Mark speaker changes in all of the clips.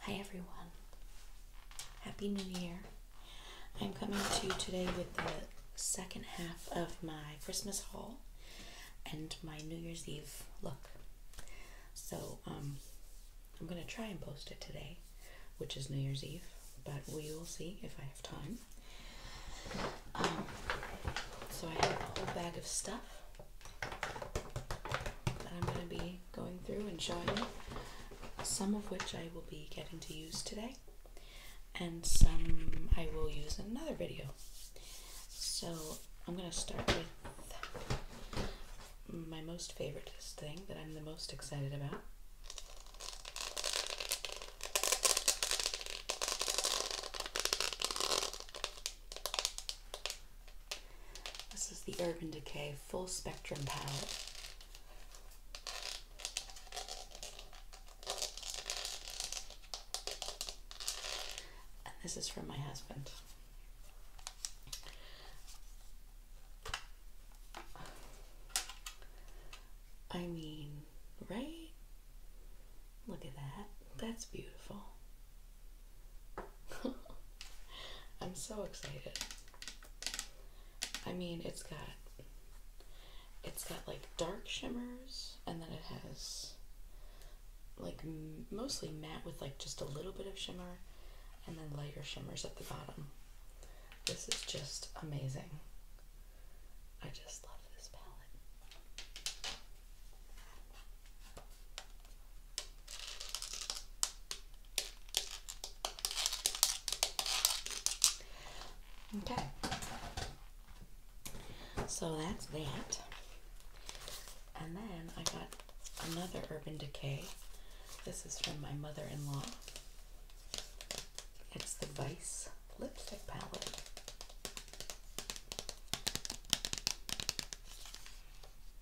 Speaker 1: Hi everyone, Happy New Year. I'm coming to you today with the second half of my Christmas haul and my New Year's Eve look. So, um, I'm going to try and post it today, which is New Year's Eve, but we will see if I have time. Um, so, I have a whole bag of stuff that I'm going to be going through and showing you, some of which I will be getting to use today, and some I will use in another video. So I'm going to start with my most favorite thing that I'm the most excited about. This is the Urban Decay Full Spectrum Palette. And this is from my husband. I mean, right? Look at that. That's beautiful. I'm so excited. I mean, it's got it's got like dark shimmers and then it has like mostly matte with like just a little bit of shimmer and then lighter shimmers at the bottom. This is just amazing. I just love this palette. Okay. So that's that. And then I got another Urban Decay. This is from my mother in law. It's the Vice Lipstick Palette.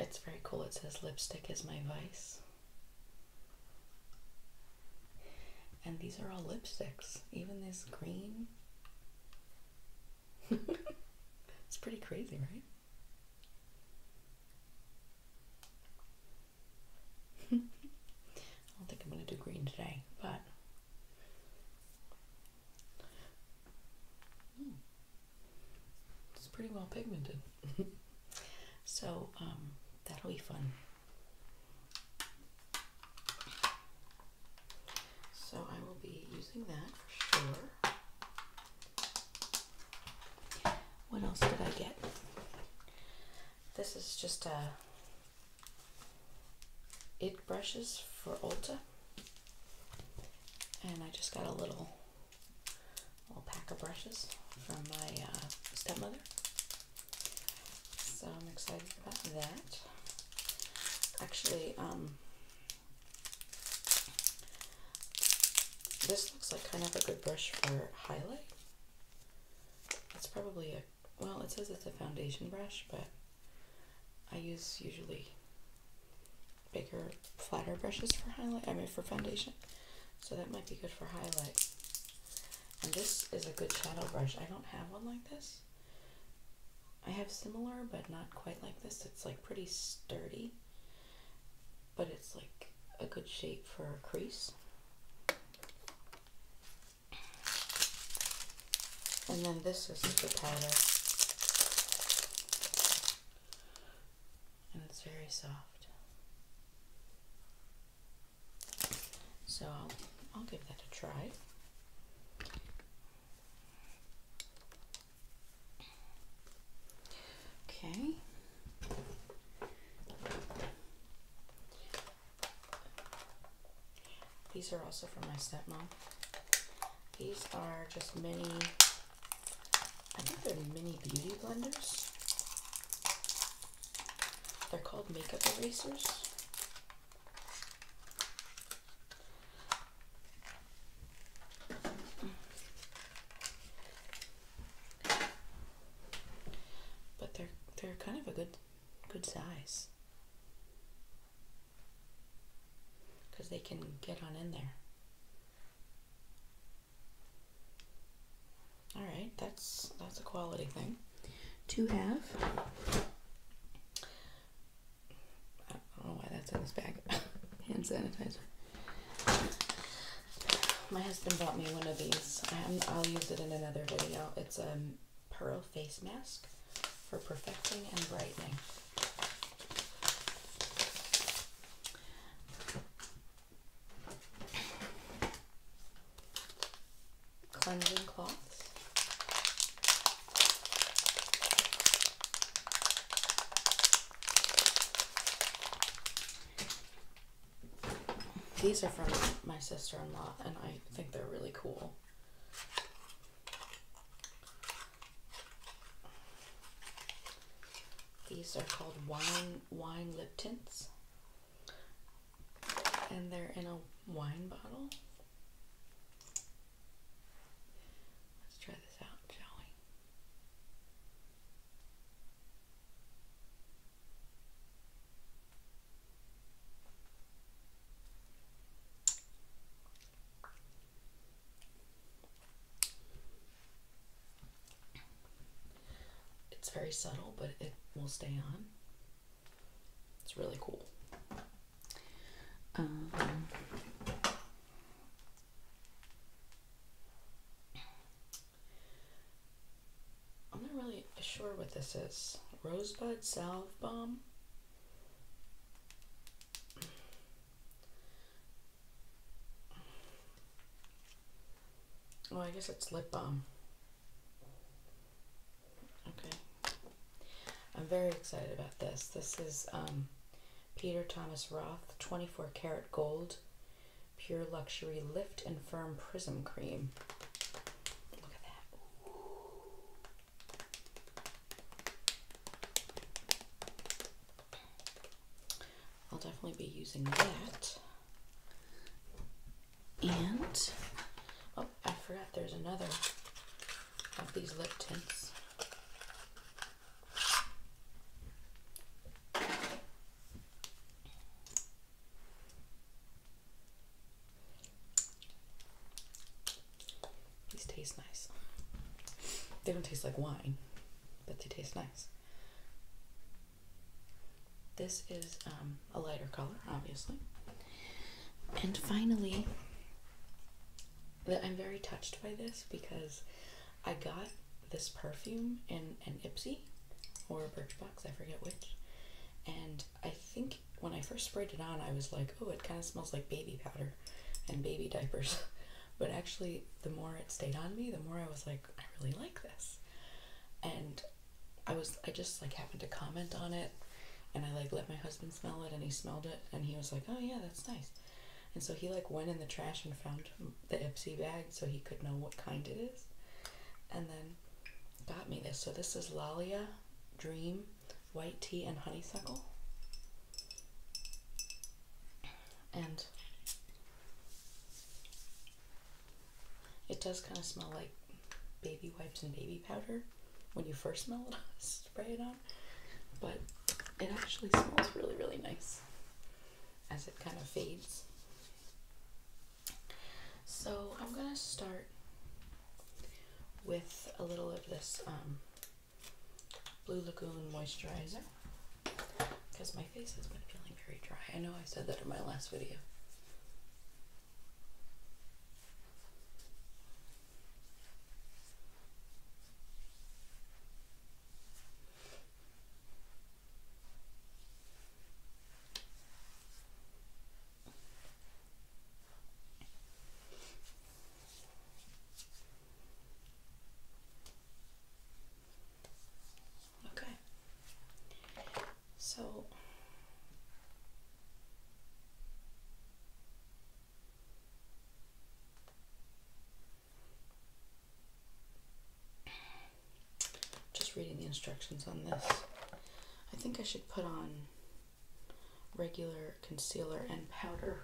Speaker 1: It's very cool. It says lipstick is my vice. And these are all lipsticks. Even this green. it's pretty crazy, right? I don't think I'm going to do green today, but Hmm. It's pretty well pigmented. so, um, that'll be fun. So, I will be using that for sure. What else did I get? This is just a it brushes for Ulta. And I just got a little, little pack of brushes from my uh, stepmother. So I'm excited about that. Actually, um, this looks like kind of a good brush for highlight. It's probably a well, it says it's a foundation brush, but I use usually bigger, flatter brushes for highlight. I mean, for foundation, so that might be good for highlight. And this is a good shadow brush. I don't have one like this. I have similar, but not quite like this. It's like pretty sturdy, but it's like a good shape for crease. And then this is the powder. And it's very soft. So I'll, I'll give that a try. Okay. These are also for my stepmom. These are just mini, I think they're mini beauty blenders. They're called makeup erasers. But they're they're kind of a good good size because they can get on in there. All right, that's that's a quality thing to have. I don't know why that's in this bag. Hand sanitizer. My husband bought me one of these. i will use it in another video. It's a um, Pearl Face Mask for perfecting and brightening. Cleansing cloths. These are from my sister-in-law and I think they're really cool. These are called wine wine lip tints. And they're in a wine bottle. Let's try this out, shall we? It's very subtle, but it will stay on. It's really cool. Um, I'm not really sure what this is. Rosebud salve balm. Oh, I guess it's lip balm. Okay. I'm very excited about this. This is um, Peter Thomas Roth 24 Carat Gold Pure Luxury Lift and Firm Prism Cream. Look at that. I'll definitely be using that. And, oh, I forgot there's another of these lip tints. These taste nice. They don't taste like wine, but they taste nice. This is um, a lighter color, obviously. And finally, that I'm very touched by this because I got this perfume in an Ipsy or Birchbox, I forget which. And I think when I first sprayed it on, I was like, oh, it kind of smells like baby powder and baby diapers. but actually, the more it stayed on me, the more I was like, I really like this. And I was, I just like happened to comment on it and I like let my husband smell it and he smelled it and he was like, oh yeah, that's nice. And so he like went in the trash and found the Ipsy bag so he could know what kind it is. And then got me this. So this is Lalia Dream white tea and honeysuckle. And it does kind of smell like baby wipes and baby powder when you first smell it, spray it on. But it actually smells really, really nice as it kind of fades. So I'm going to start with a little of this um, Blue Lagoon moisturizer because my face has been feeling very dry. I know I said that in my last video. Okay. So just reading the instructions on this. I think I should put on regular concealer and powder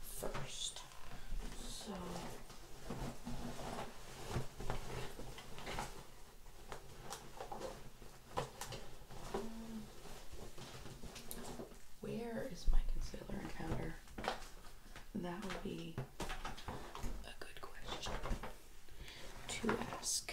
Speaker 1: first. So where is my concealer and powder? That would be a good question to ask.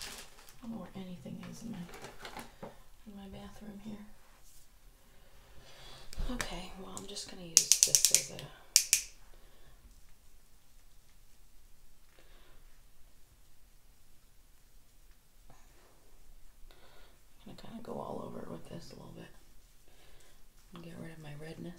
Speaker 1: I don't know where anything is in my in my bathroom here. Okay, well I'm just gonna use this as a I'm gonna kind of go all over with this a little bit and get rid of my redness.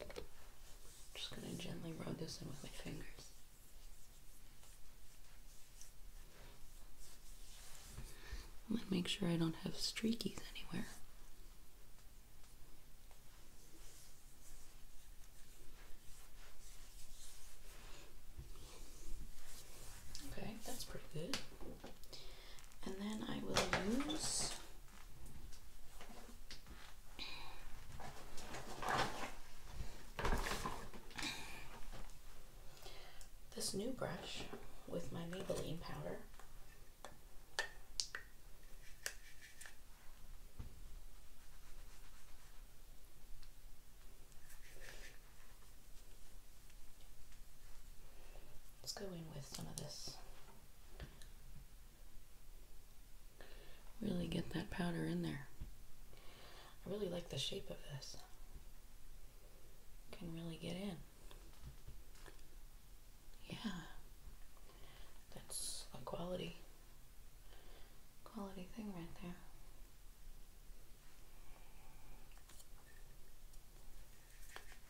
Speaker 1: I'm just going to gently rub this in with my fingers. And then make sure I don't have streakies anywhere. Okay, that's pretty good. And then I will use this new brush with my Maybelline powder Let's go in with some of this Really get that powder in there. I really like the shape of this. Can really get in. Yeah. That's a quality quality thing right there.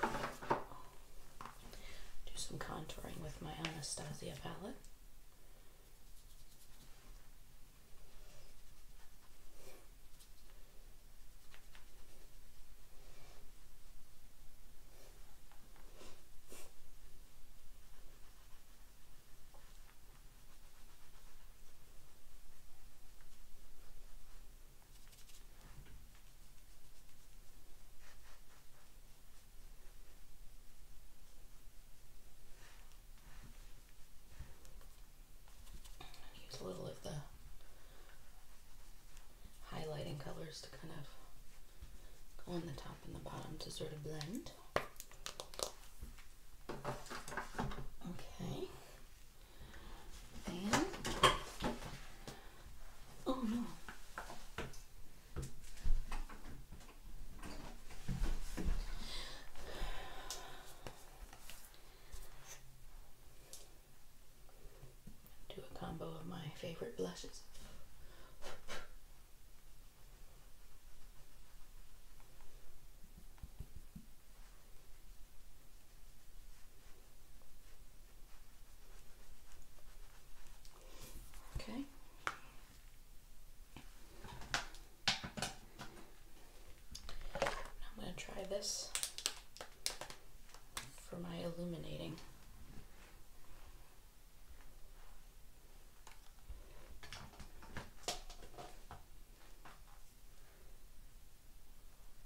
Speaker 1: do some contouring with my Anastasia palette. Use a little of the highlighting colors to kind of go on the top and the bottom to sort of blend. Okay. And oh no. Do a combo of my favorite blushes. Okay. I'm going to try this for my illuminating.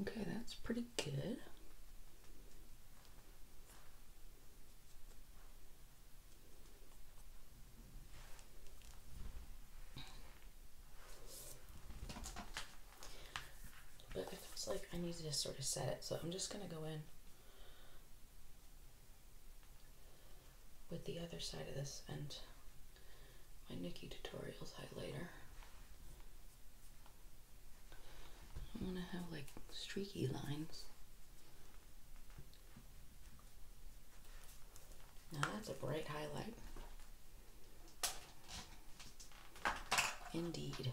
Speaker 1: Okay, that's pretty good. But it feels like I need to just sort of set it, so I'm just going to go in with the other side of this and my Nikki Tutorials highlighter. I'm gonna have like streaky lines. Now that's a bright highlight. Indeed.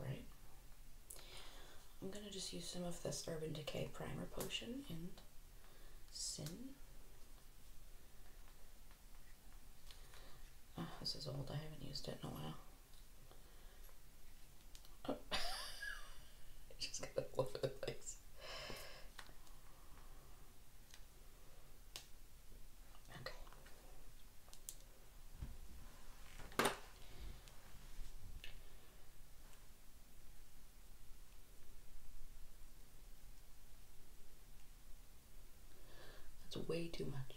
Speaker 1: Right. I'm going to just use some of this Urban Decay Primer Potion and Sin. Ah, this is old. I haven't used it in a while. just got all over the place. Okay. That's way too much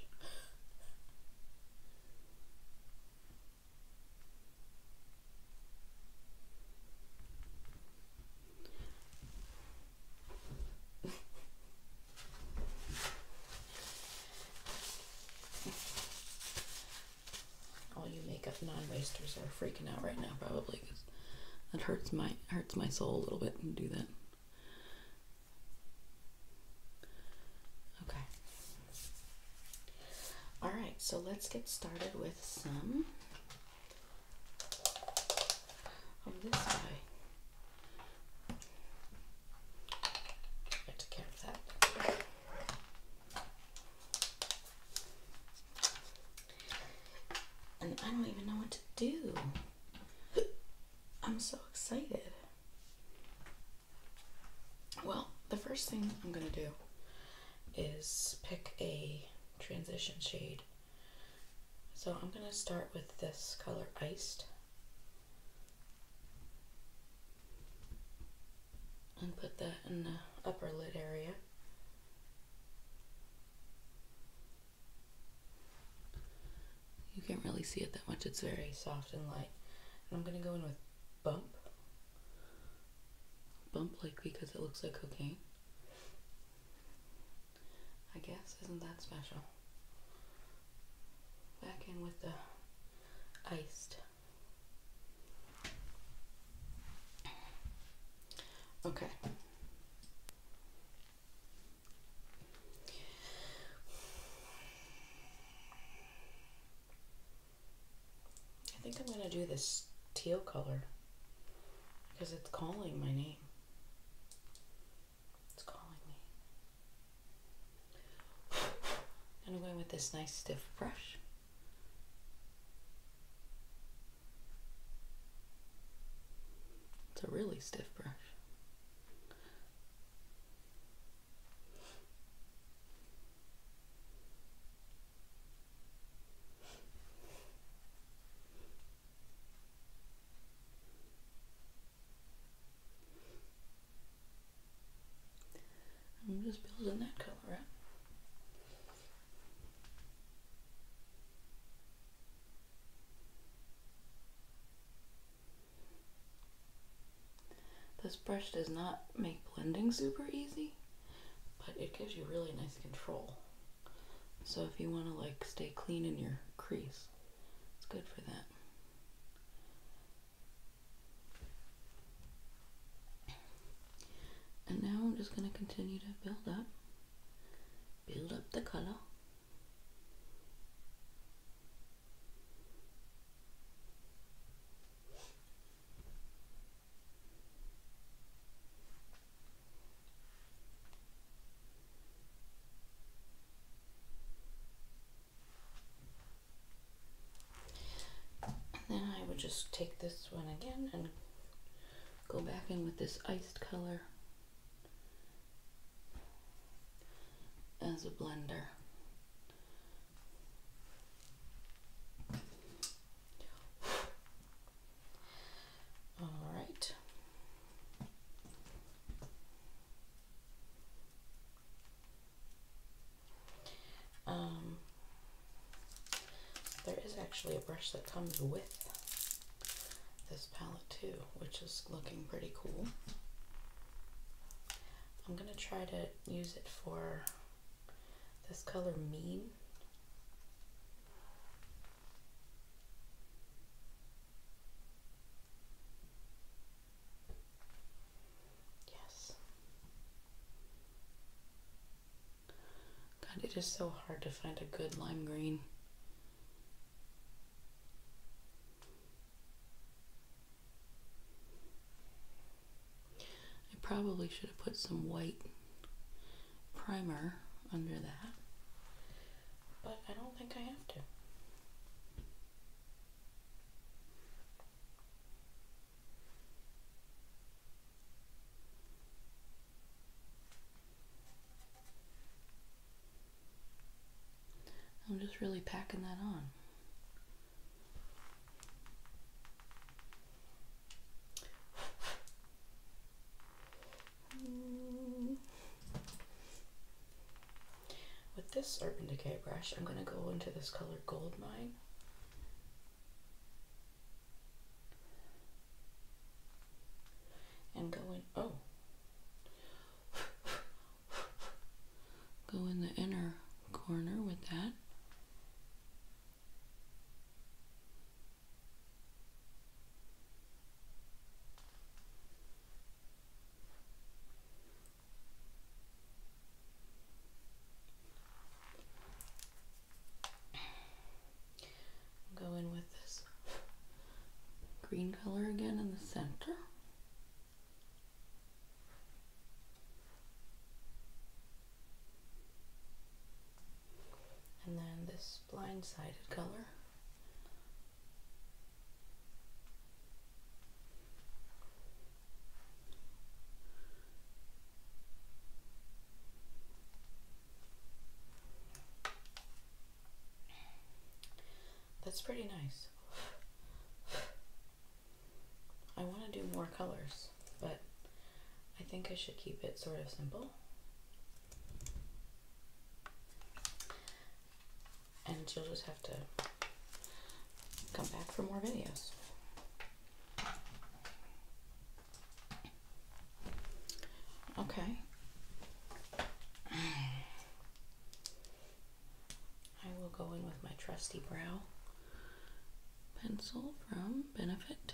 Speaker 1: all you makeup non-wasters are freaking out right now probably because that hurts my hurts my soul a little bit to do that. Okay. All right, so let's get started with some this guy. I have to that. And I don't even know what to do. I'm so excited. Well, the first thing I'm going to do is pick a transition shade. So I'm going to start with this color Iced and put that in the upper lid area. You can't really see it that much, it's very soft and light. I'm gonna go in with bump. Bump like because it looks like cocaine. I guess, isn't that special? Back in with the iced. Okay. I think I'm going to do this teal color because it's calling my name. It's calling me. And I'm going with this nice stiff brush. It's a really stiff brush. I'm just building that color up. This brush does not make blending super easy, but it gives you really nice control. So if you want to like stay clean in your crease, it's good for that. And now I'm just going to continue to build up, build up the color. And then I would just take this one again and go back in with this iced color as a blender. Um, there is actually a brush that comes with this palette too, which is looking pretty cool. I'm gonna try to use it for this color Mean. Yes. God, it is so hard to find a good lime green. I probably should have put some white primer under that, but I don't think I have to. I'm just really packing that on. With this Urban Decay brush, I'm going to go into this color Goldmine and go in oh go in the inner corner with that Go in with this green color again in the center. And then this blindsided color. That's pretty nice. I want to do more colors, but I think I should keep it sort of simple. And you'll just have to come back for more videos. Okay. I will go in with my trusty brow pencil from Benefit.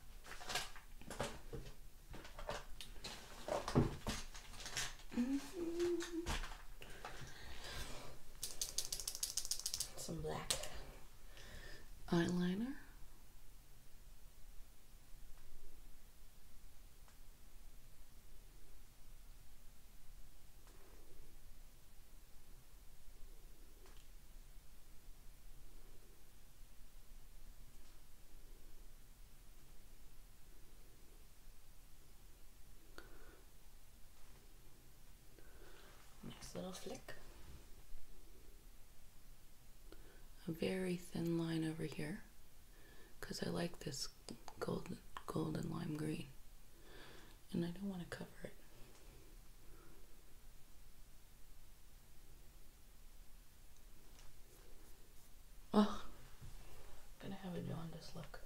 Speaker 1: Mm-hmm. Some black eyeliner. Nice little flick. A very thin line over here because I like this golden golden lime green and I don't want to cover it. Oh, I'm gonna have a jaundice look.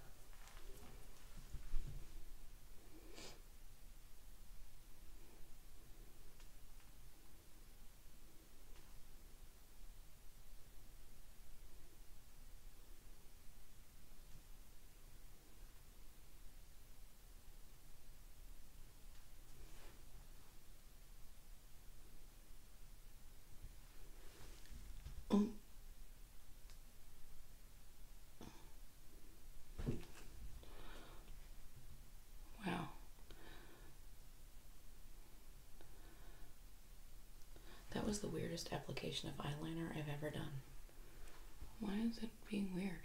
Speaker 1: Wow. That was the weirdest application of eyeliner I've ever done. Why is it being weird?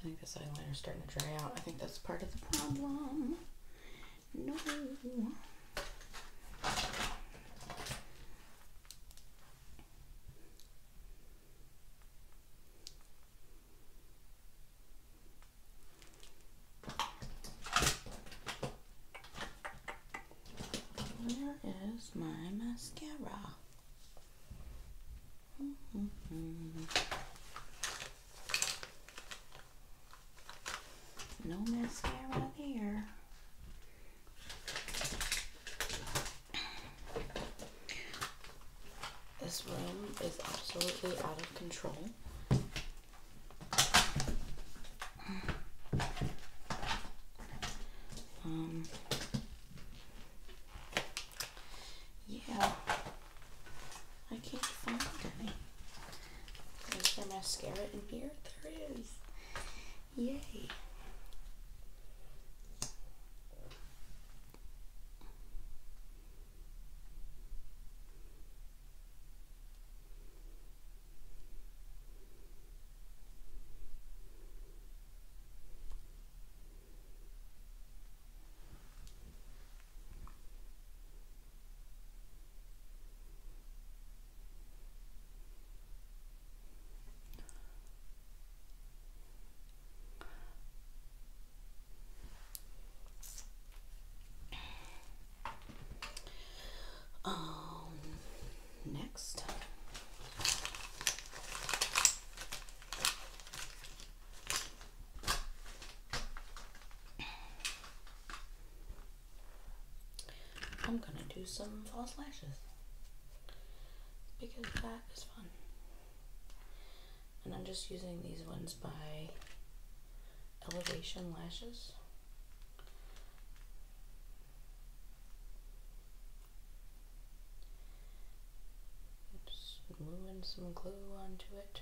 Speaker 1: I think this is starting to dry out. I think that's part of the problem. No. Where is my mascara? Mm-hmm. No mascara there. This room is absolutely out of control. Um, yeah. I can't find any. Is there mascara in here? There is. Yay. Um, next, I'm gonna do some false lashes because that is fun. And I'm just using these ones by Elevation Lashes. Just moving some glue onto it.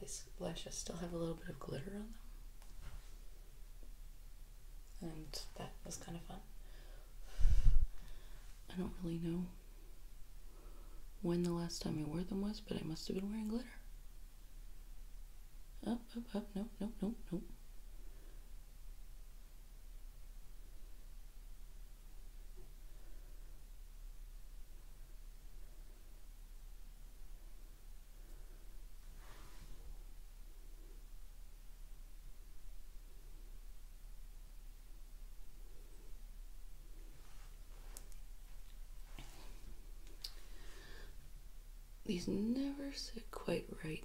Speaker 1: These lashes still have a little bit of glitter on them and that was kind of fun. I don't really know when the last time I wore them was, but I must have been wearing glitter. Up, up, up, nope, nope, nope, nope. These never sit quite right.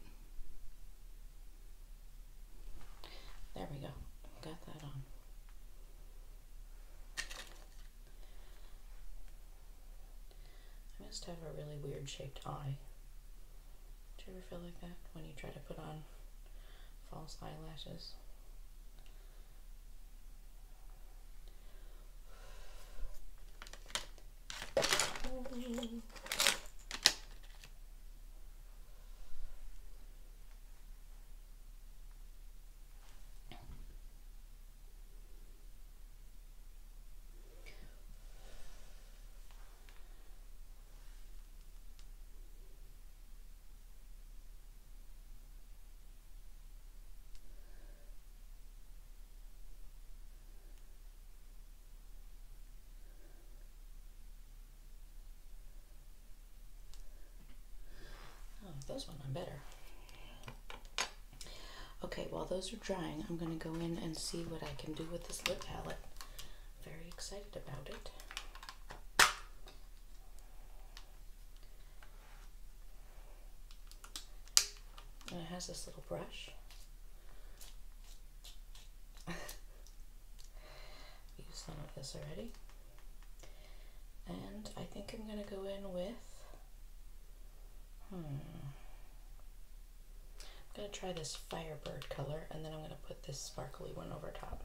Speaker 1: There we go. Got that on. I must have a really weird shaped eye. Do you ever feel like that when you try to put on false eyelashes? Oh, those one I'm better. Okay, well, those are drying, I'm going to go in and see what I can do with this lip palette. Very excited about it. And it has this little brush. Used some of this already. And I think I'm going to go in with. Hmm. I'm going to try this Firebird color and then I'm going to put this sparkly one over top.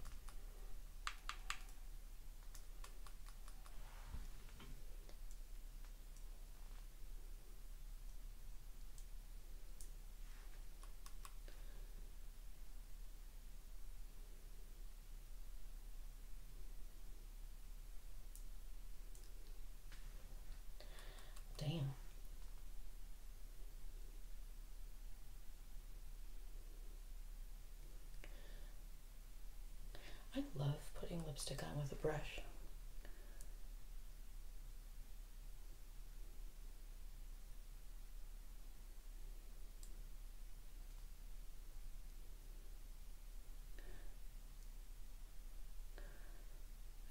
Speaker 1: Damn. I love putting lipstick on with a brush.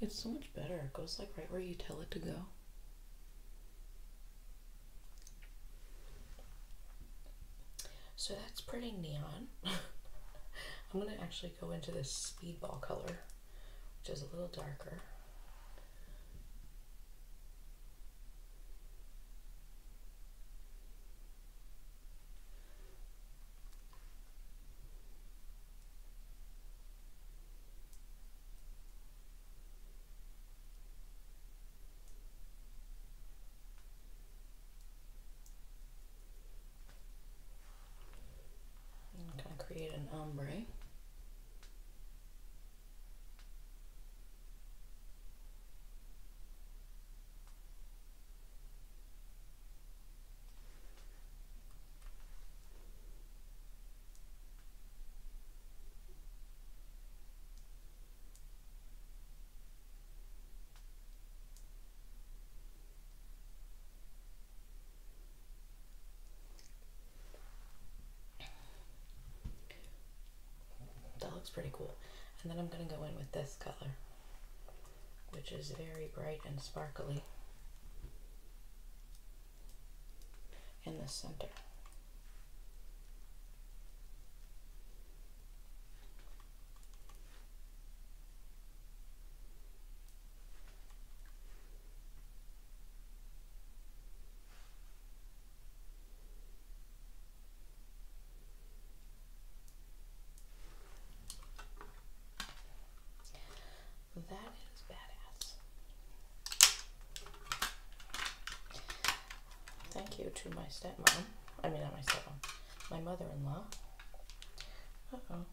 Speaker 1: It's so much better. It goes like right where you tell it to go. So that's pretty neon. I'm going to actually go into this speedball color, which is a little darker. I'm gonna create an ombre. That looks pretty cool. And then I'm going to go in with this color, which is very bright and sparkly in the center. That is badass. Thank you to my stepmom. I mean, not my stepmom. My mother-in-law. Uh-oh.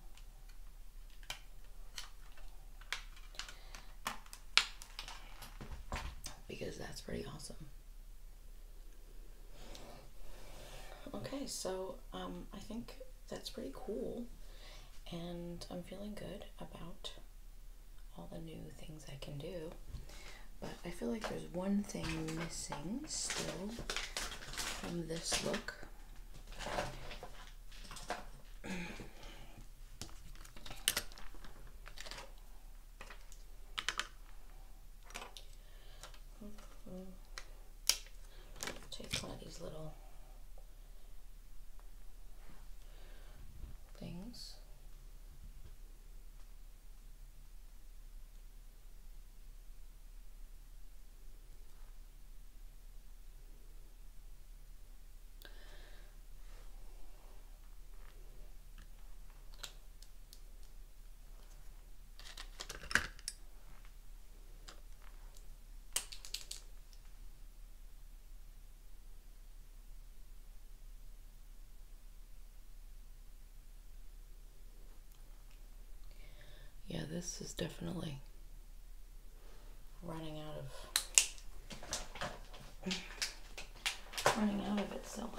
Speaker 1: Because that's pretty awesome. Okay, so um, I think that's pretty cool. And I'm feeling good about all the new things I can do. But I feel like there's one thing missing still from this look. Take one of these little things. Yeah, this is definitely running out of running out of itself.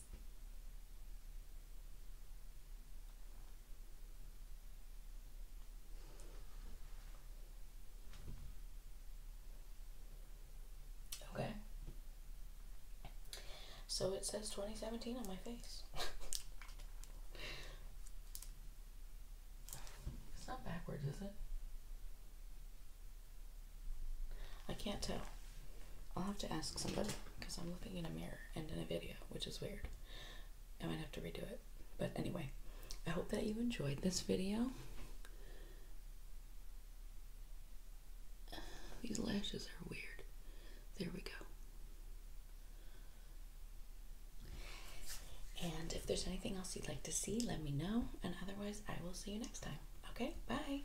Speaker 1: Okay. So it says 2017 on my face. it's not backwards, is it? I can't tell. I'll have to ask somebody because I'm looking in a mirror and in a video, which is weird. I might have to redo it. But anyway, I hope that you enjoyed this video. These lashes are weird. There we go. And if there's anything else you'd like to see, let me know. And otherwise, I will see you next time. Okay, bye.